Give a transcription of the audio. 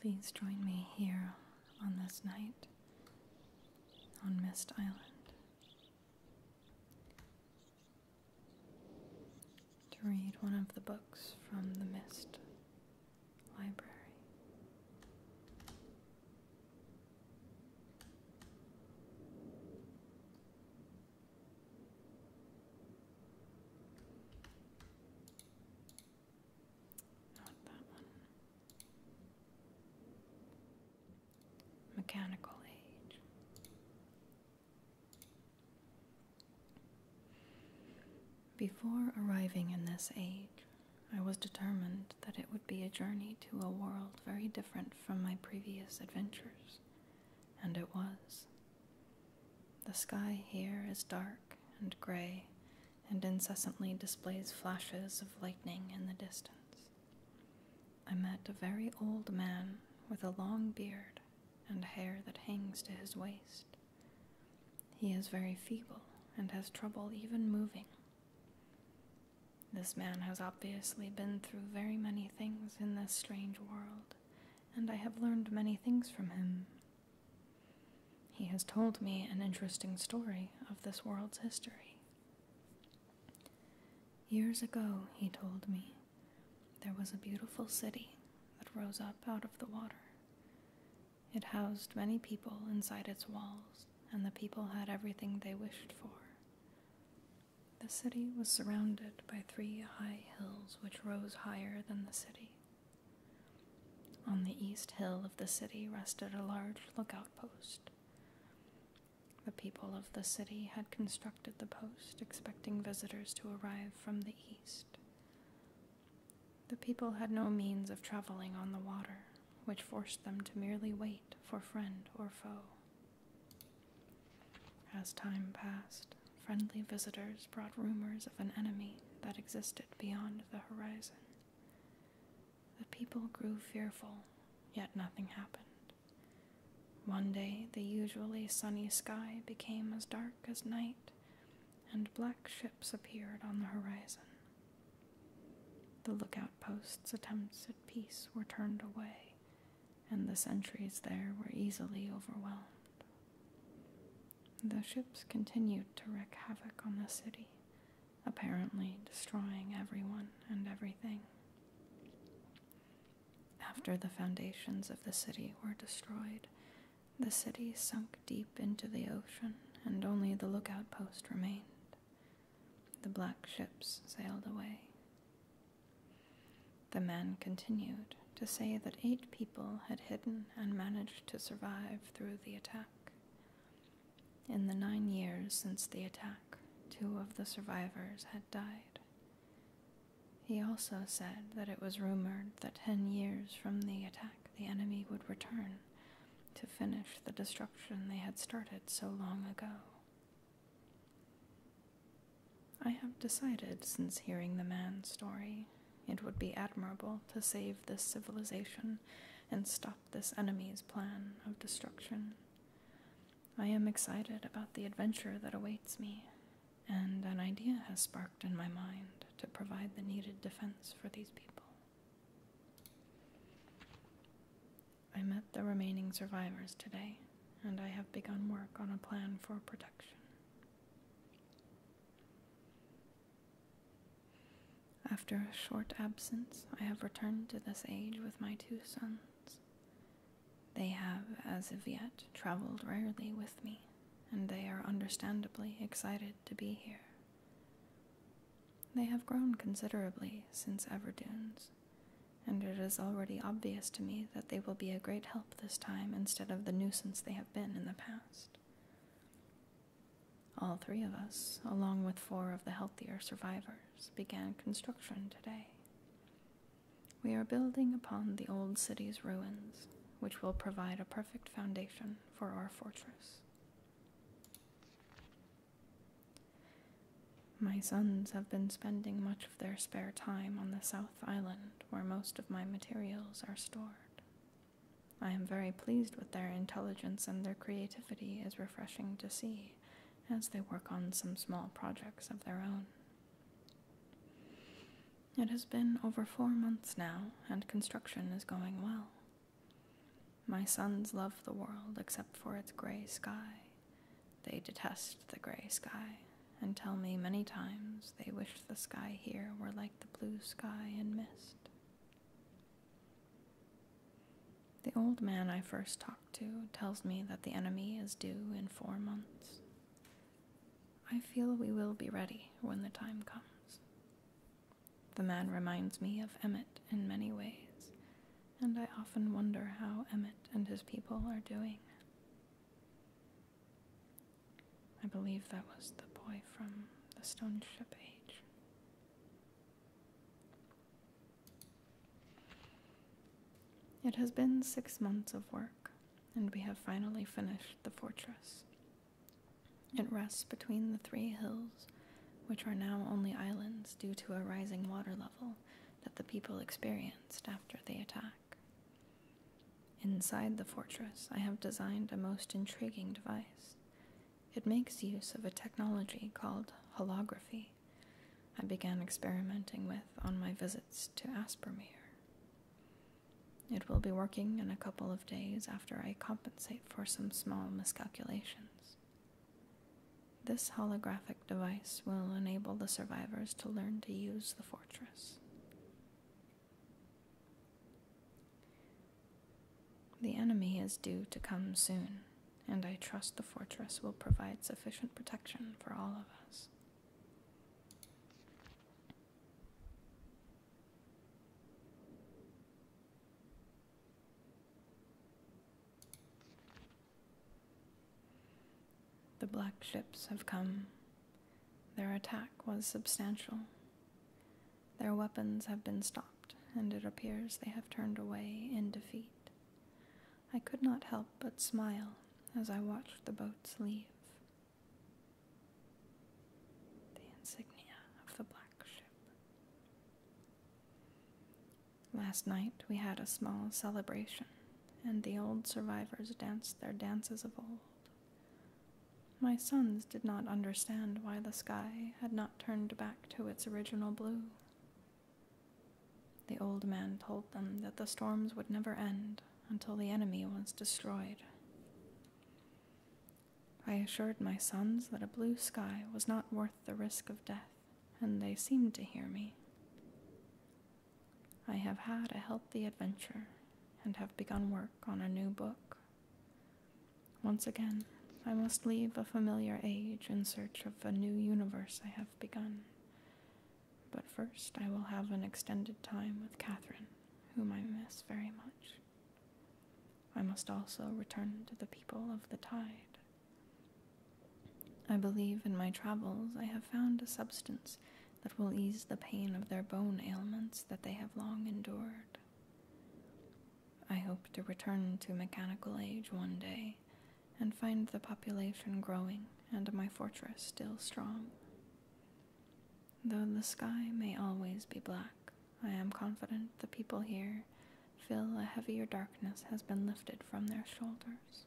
Please join me here on this night on Mist Island to read one of the books from the Mist Library. Not that one. Mechanical age. Before arriving in this age, I was determined that it would be a journey to a world very different from my previous adventures, and it was. The sky here is dark and gray and incessantly displays flashes of lightning in the distance. I met a very old man with a long beard and hair that hangs to his waist. He is very feeble and has trouble even moving. This man has obviously been through very many things in this strange world and I have learned many things from him. He has told me an interesting story of this world's history. Years ago, he told me, there was a beautiful city that rose up out of the water. It housed many people inside its walls, and the people had everything they wished for. The city was surrounded by three high hills which rose higher than the city. On the east hill of the city rested a large lookout post. The people of the city had constructed the post, expecting visitors to arrive from the east. The people had no means of traveling on the water, which forced them to merely wait for friend or foe. As time passed, friendly visitors brought rumors of an enemy that existed beyond the horizon. The people grew fearful, yet nothing happened. One day, the usually sunny sky became as dark as night, and black ships appeared on the horizon. The lookout post's attempts at peace were turned away, and the sentries there were easily overwhelmed. The ships continued to wreak havoc on the city, apparently destroying everyone and everything. After the foundations of the city were destroyed, the city sunk deep into the ocean, and only the lookout post remained. The black ships sailed away. The man continued to say that eight people had hidden and managed to survive through the attack. In the nine years since the attack, two of the survivors had died. He also said that it was rumored that ten years from the attack the enemy would return to finish the destruction they had started so long ago. I have decided, since hearing the man's story, it would be admirable to save this civilization and stop this enemy's plan of destruction. I am excited about the adventure that awaits me, and an idea has sparked in my mind to provide the needed defense for these people. I met the remaining survivors today and I have begun work on a plan for protection. After a short absence, I have returned to this age with my two sons. They have, as of yet, traveled rarely with me, and they are understandably excited to be here. They have grown considerably since Everdunes, and it is already obvious to me that they will be a great help this time instead of the nuisance they have been in the past. All three of us, along with four of the healthier survivors, began construction today. We are building upon the old city's ruins, which will provide a perfect foundation for our fortress. My sons have been spending much of their spare time on the South Island, where most of my materials are stored. I am very pleased with their intelligence, and their creativity is refreshing to see as they work on some small projects of their own. It has been over four months now, and construction is going well. My sons love the world except for its gray sky, they detest the gray sky, and tell me many times they wish the sky here were like the blue sky in mist. The old man I first talked to tells me that the enemy is due in four months. I feel we will be ready when the time comes. The man reminds me of Emmett in many ways, and I often wonder how Emmett and his people are doing. I believe that was the boy from the Stone Ship Age. It has been six months of work, and we have finally finished the fortress. It rests between the three hills, which are now only islands due to a rising water level that the people experienced after the attack. Inside the fortress, I have designed a most intriguing device. It makes use of a technology called holography, I began experimenting with on my visits to Aspermere. It will be working in a couple of days after I compensate for some small miscalculations. This holographic device will enable the survivors to learn to use the fortress. The enemy is due to come soon, and I trust the fortress will provide sufficient protection for all of us. The black ships have come. Their attack was substantial. Their weapons have been stopped, and it appears they have turned away in defeat. I could not help but smile as I watched the boats leave. The insignia of the black ship. Last night we had a small celebration and the old survivors danced their dances of old. My sons did not understand why the sky had not turned back to its original blue. The old man told them that the storms would never end until the enemy was destroyed. I assured my sons that a blue sky was not worth the risk of death, and they seemed to hear me. I have had a healthy adventure and have begun work on a new book. Once again, I must leave a familiar age in search of a new universe I have begun. But first, I will have an extended time with Catherine, whom I miss very much. I must also return to the people of the tide, I believe in my travels I have found a substance that will ease the pain of their bone ailments that they have long endured. I hope to return to mechanical age one day and find the population growing and my fortress still strong. Though the sky may always be black, I am confident the people here feel a heavier darkness has been lifted from their shoulders.